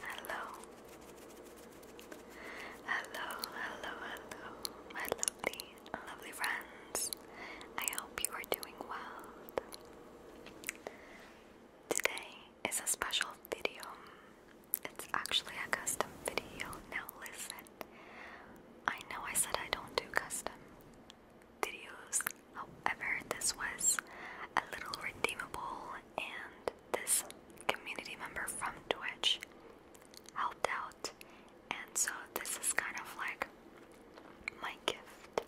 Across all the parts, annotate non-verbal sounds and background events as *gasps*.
Hello. Hello, hello, hello, my lovely, lovely friends. I hope you are doing well. Today is a special video. It's actually a custom video. Now, listen, I know I said I don't do custom videos However, this was a little redeemable, and this community member from Twitch helped out, and so this is kind of like my gift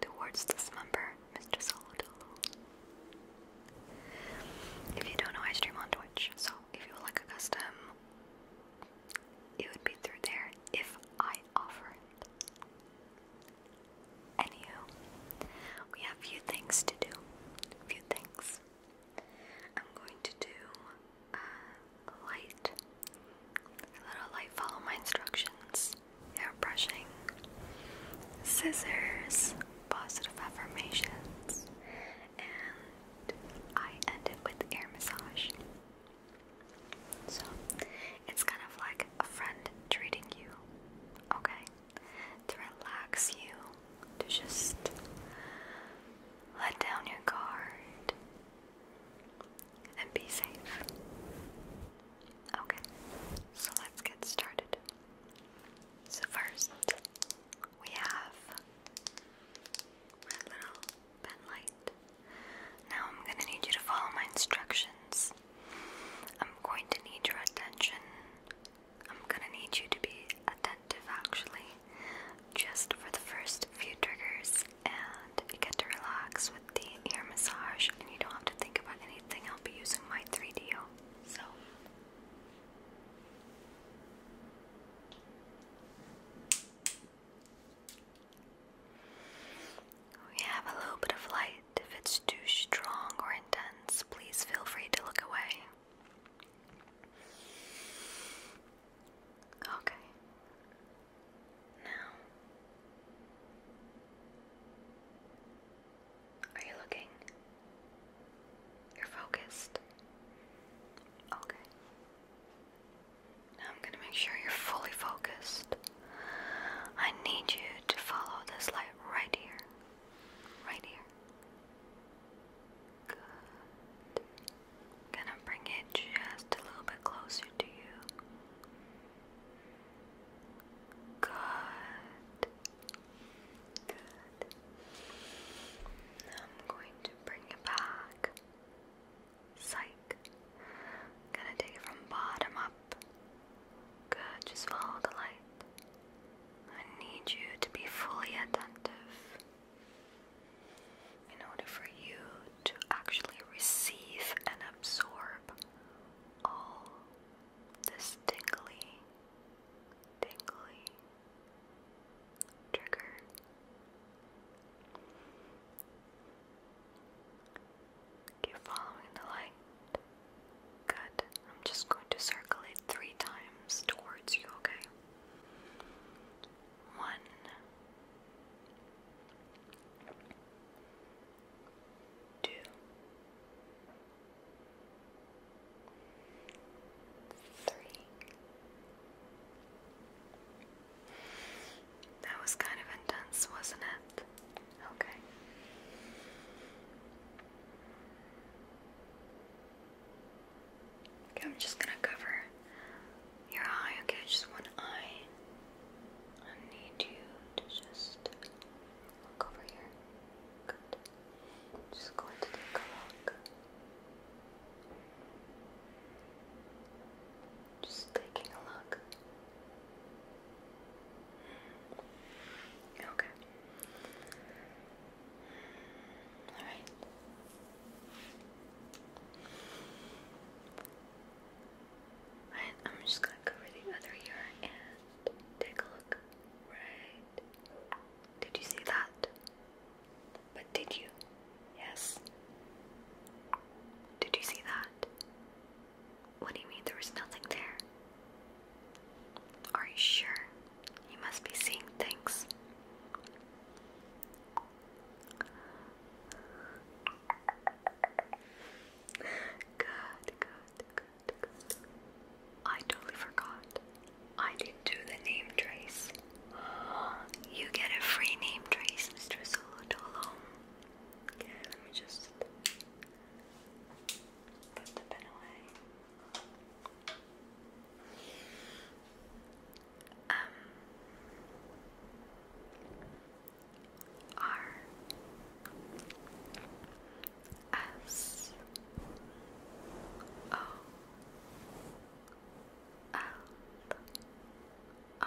towards this member, Mr. Solodolo. If you don't know, I stream on Twitch, so if you like a custom, it would be through there if I offer it. Anywho, we have few things to do. few things. I'm going to do uh, light, a little light follow my instructions, hair scissors, positive affirmations, and I end it with air massage. So, it's kind of like a friend treating you, okay? To relax you, to just let down your guard and be safe. Okay, so let's get started. So, first, we have my little pen light. Now, I'm gonna need you to follow my instructions. I'm going to need your attention. I'm gonna need you to be attentive actually, just for the first few triggers, and you get to relax with the ear massage, and you don't have to think about anything. I'll be using my 3DO. So. We have a little bit of light. If it's too strong or intense, please feel free to look away. Okay. Now, are you looking? You're focused. Okay. Now I'm going to make sure you're fully focused. I need you to follow this light right here. Right here. Good. Gonna bring it just a little bit closer to you. Good. Good. I'm going to bring it back. Psych. gonna take it from bottom up Good, just follow the light. I need you to be fully attentive in order for you to actually receive and absorb all this tingly, tingly trigger. Keep following the light. Good. I'm just going to circle it three times towards you, okay? One. That was kind of intense, wasn't it? Okay. I'm just gonna cover your eye, okay? Just one eye. I need you to just look over here. Just going to take a look. Just taking a look. Okay. All right. Alright, i am just gonna cover the other ear and take a look. Right. Did you see that? But did you? Yes. Did you see that? What do you mean there was nothing there? Are you sure? You must be seeing things. Good, good, good, good. I totally forgot. I did do the name trace. *gasps* You get a free name trace, Mr. Solotolo. Okay, let me just Put the pen away. Um, R S O L O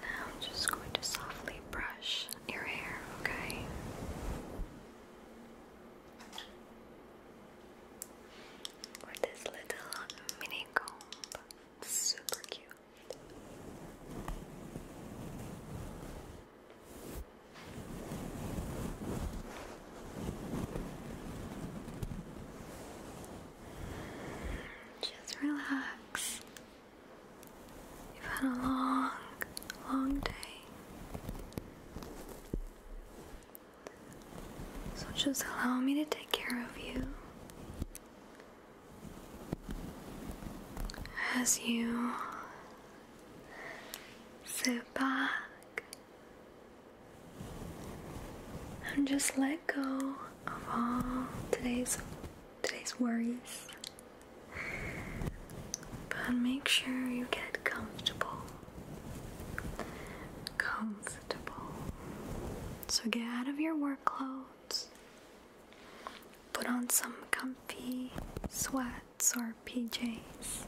now I'm just going to softly brush your hair, okay? With this little mini comb. super cute. Just relax. You've had a long, long day. So just allow me to take care of you as you sit back and just let go of all today's today's worries but make sure you get comfortable. Comfortable. So get out of your work clothes. Put on some comfy sweats or PJs.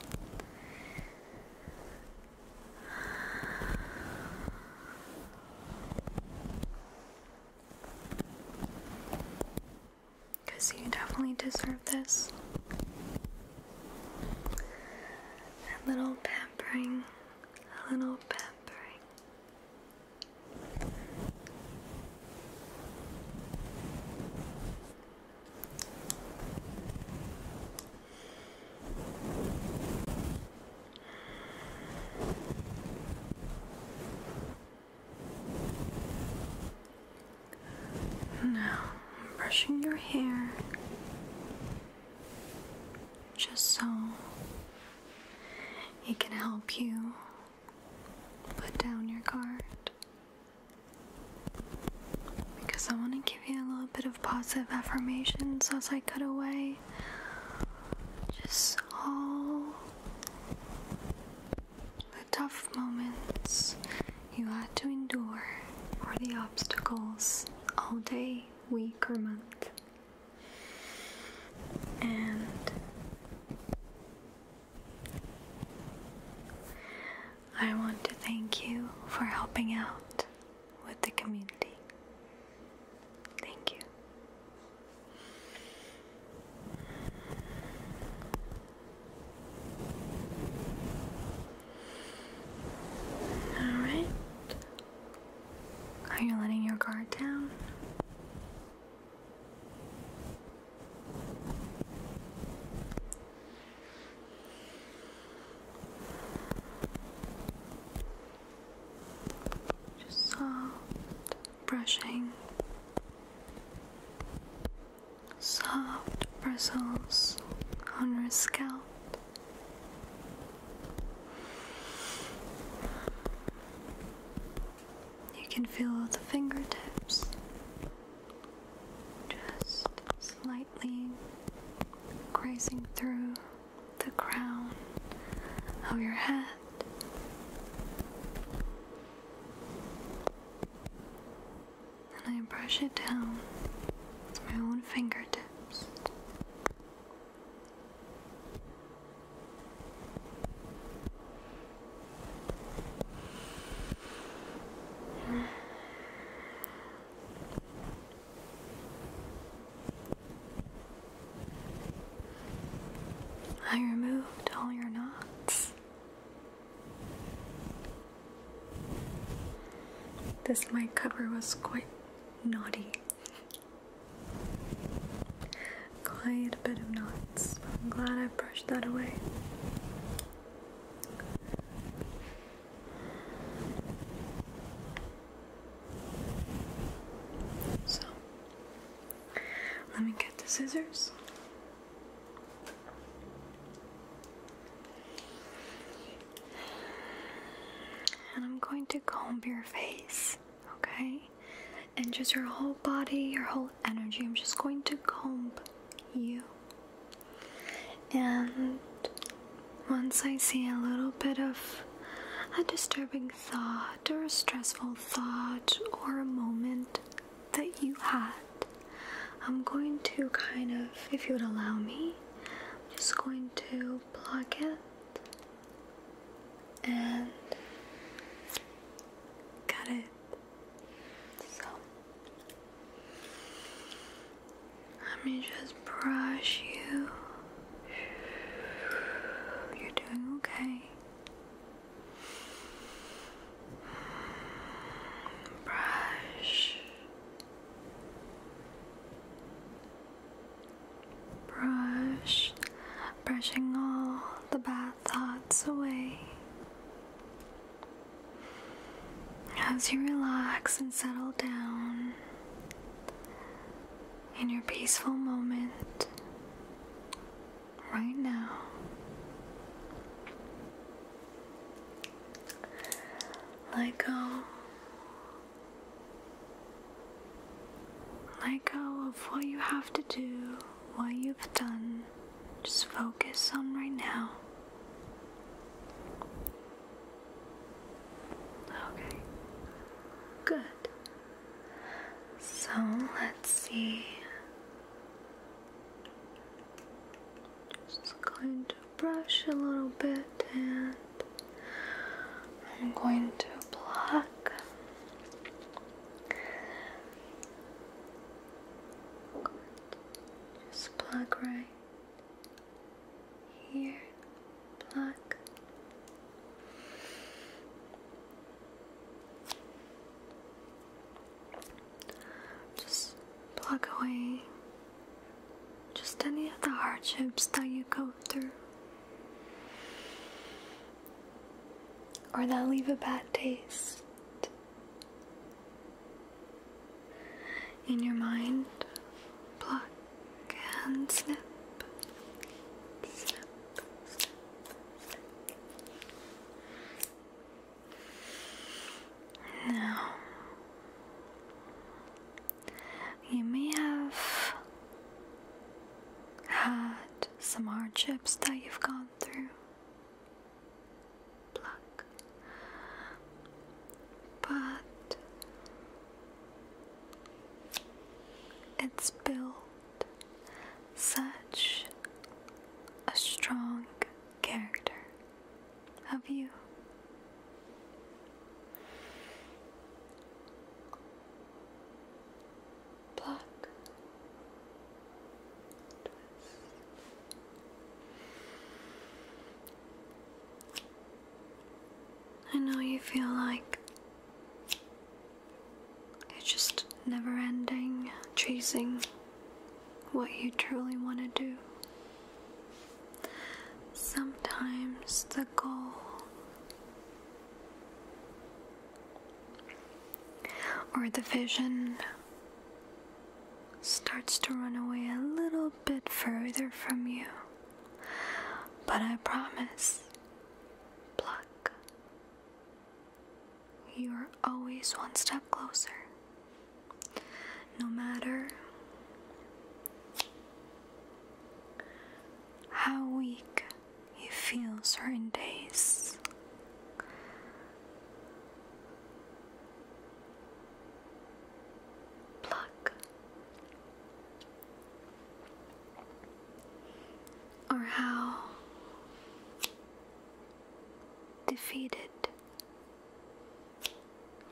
Because you definitely deserve this. A little pampering, a little pampering. Now, I'm brushing your hair just so it can help you put down your guard. Because I want to give you a little bit of positive affirmations as I cut away. Just so. The tough moments you had to endure, or the obstacles all day, week, or month. And I want to thank you for helping out with the community. Thank you. All right. Are you letting your guard down? Just soft brushing soft bristles on your scalp. You can feel the fingertips just slightly grazing through the crown of your head. And I brush it down with my own fingertips. I removed all your knots. This mic cover was quite knotty. Quite a bit of knots, but I'm glad I brushed that away. So, let me get the scissors. And I'm going to comb your face, okay? And just your whole body, your whole energy. I'm just going to comb you. And once I see a little bit of a disturbing thought or a stressful thought or a moment that you had, I'm going to kind of, if you would allow me, I'm just going to block it and cut it. So let me just brush you. You're doing okay. Brush, brush, brushing all the bad thoughts away. As you relax and settle down in your peaceful moment, right now. Let go. Let go of what you have to do, what you've done. Just focus on right now. Okay. Good. So let's see. Just going to brush a little bit and I'm going to block. Just plug right here. Block. Just plug away just any of the hardships that you go through or that leave a bad taste in your mind. Block and snip, snip. Now, you may have had some hardships that you've gone through. Pluck. But it's built such a strong character of you. Pluck, I know you feel like it's just never ending, chasing what you truly want to do. Sometimes the goal or the vision starts to run away a little bit further from you. But I promise, pluck, you are always one step closer. No matter how weak you feel certain days, pluck or how defeated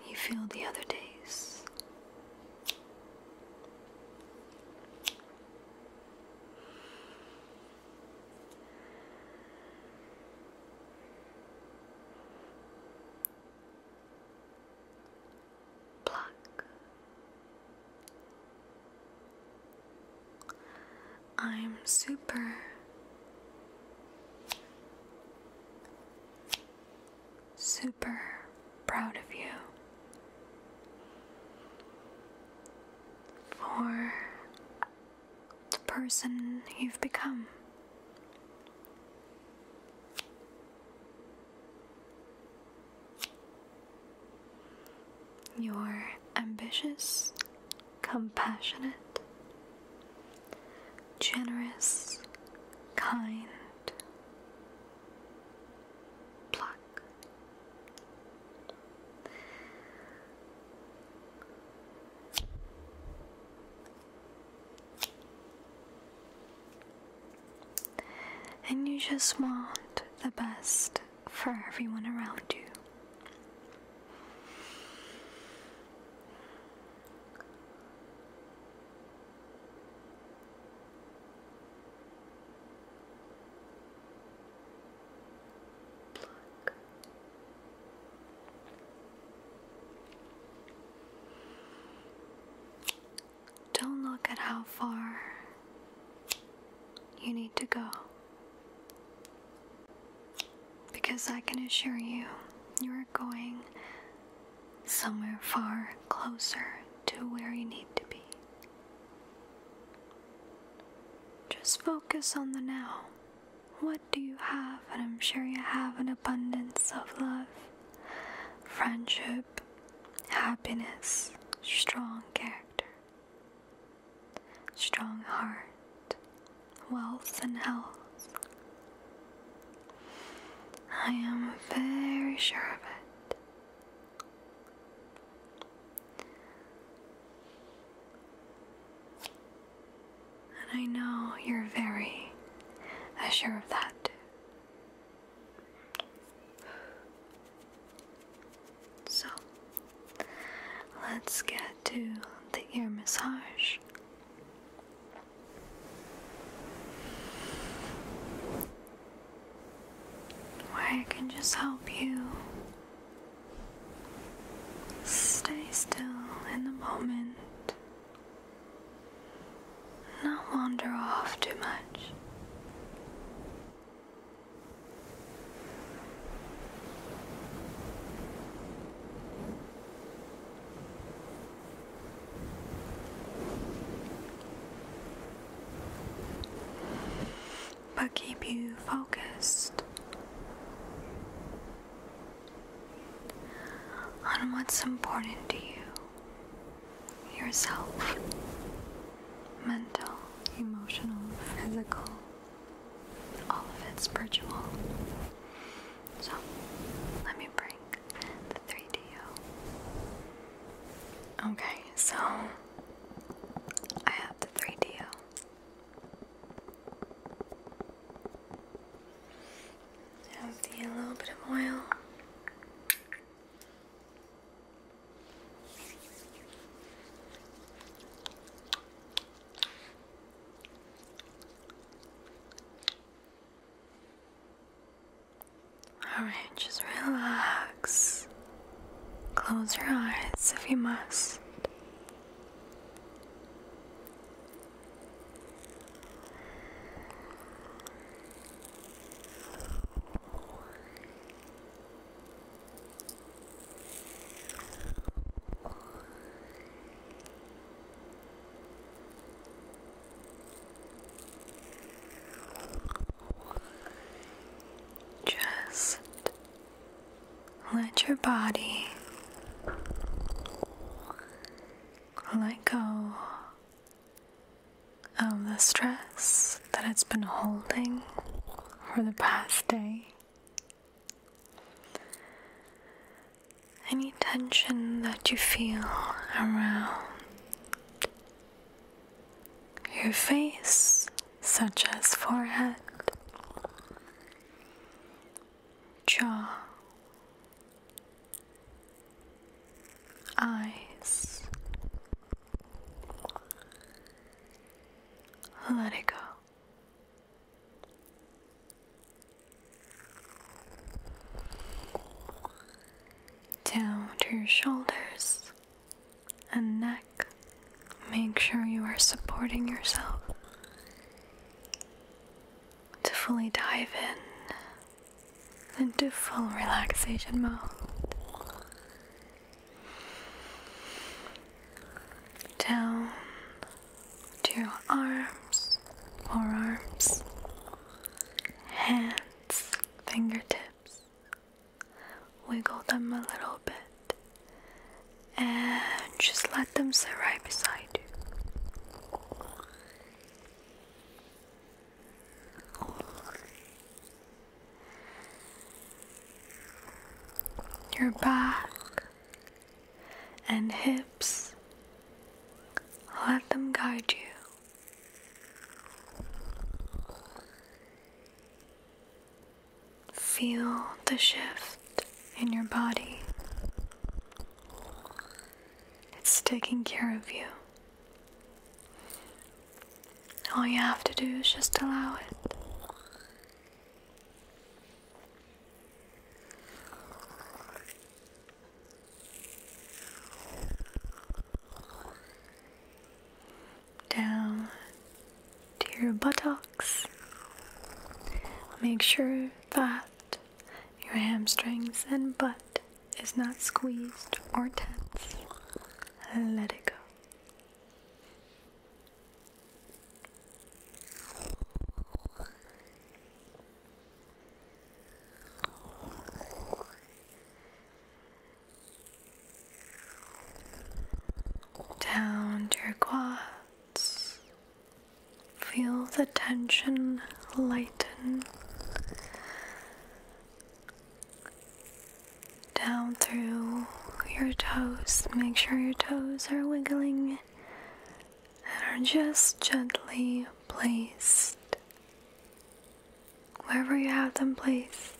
you feel the other days. Pluck I'm super. Super proud of you for the person you've become. You're ambitious, compassionate, generous, kind. Pluck. And you just want the best for everyone around you. Pluck. Don't look at how far you need to go. Because I can assure you, you are going somewhere far closer to where you need to be. Just focus on the now. What do you have? And I'm sure you have an abundance of love, friendship, happiness, strong character strong heart, wealth, and health. I am very sure of it. And I know you're very sure of that so, let's get to the ear massage. Where I can just help you stay still in the moment, not wander off too much but keep you focused on what's important to you, yourself mental, emotional, physical, all of it spiritual. So let me bring the 3DO. Okay, so I have the 3DO. have a little bit of oil. Alright, just relax. Close your eyes if you must. Just let your body let go of the stress that it's been holding for the past day. Any tension that you feel around your face, such as forehead, jaw, eyes, let it go. Down to your shoulders and neck. Make sure you are supporting yourself to fully dive in into full relaxation mode down to your arms, forearms, hands, fingertips. Wiggle them a little bit and just let them sit right beside you your back and hips. Let them guide you. Feel the shift in your body. It's taking care of you. All you have to do is just allow it. Down to your buttocks. Make sure that your hamstrings and butt is not squeezed or tense. Let it go. Down your quads. Feel the tension lighten down through your toes. Make sure your toes are wiggling and are just gently placed wherever you have them placed.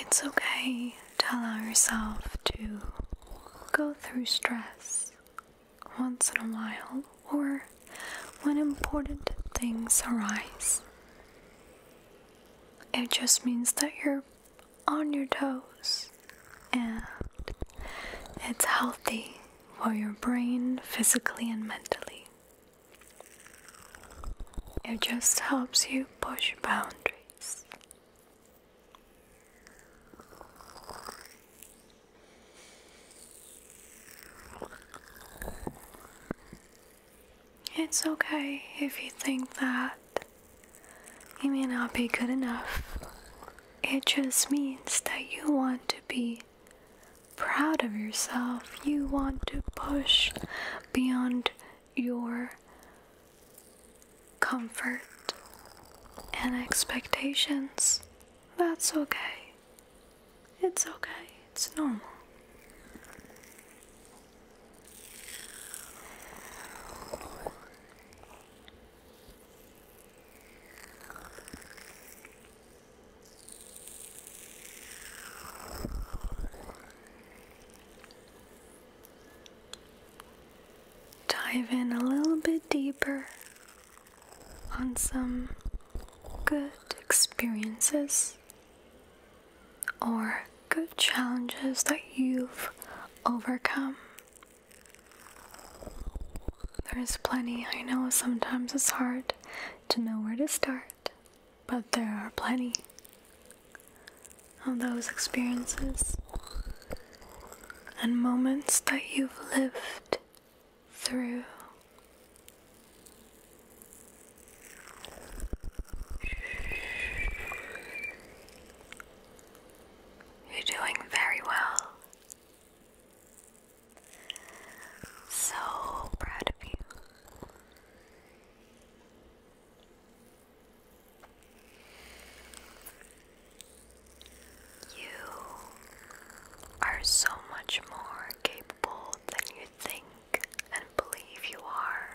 It's okay to allow yourself to go through stress once in a while or when important things arise. It just means that you're on your toes and it's healthy for your brain physically and mentally. It just helps you push boundaries. It's okay if you think that you may not be good enough. It just means that you want to be proud of yourself. You want to push beyond your comfort and expectations. That's okay. It's okay. It's normal. Dive in a little bit deeper on some good experiences or good challenges that you've overcome. There's plenty. I know sometimes it's hard to know where to start, but there are plenty of those experiences and moments that you've lived through. You're doing very well. So proud of you. You are so much more capable than you think and believe you are.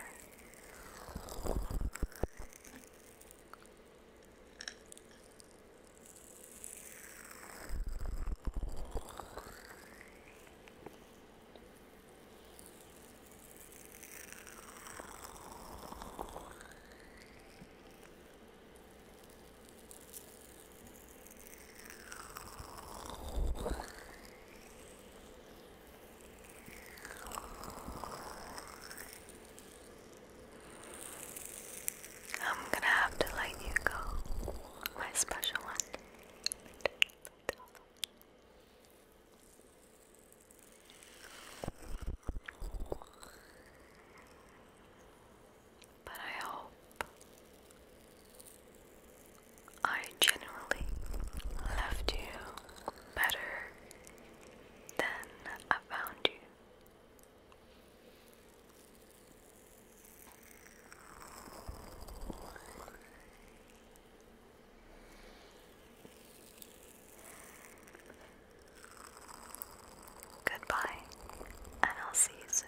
I'm gonna have to let you go, my special one. But I hope I genuinely left you better than I found you. Goodbye, and I'll see you soon.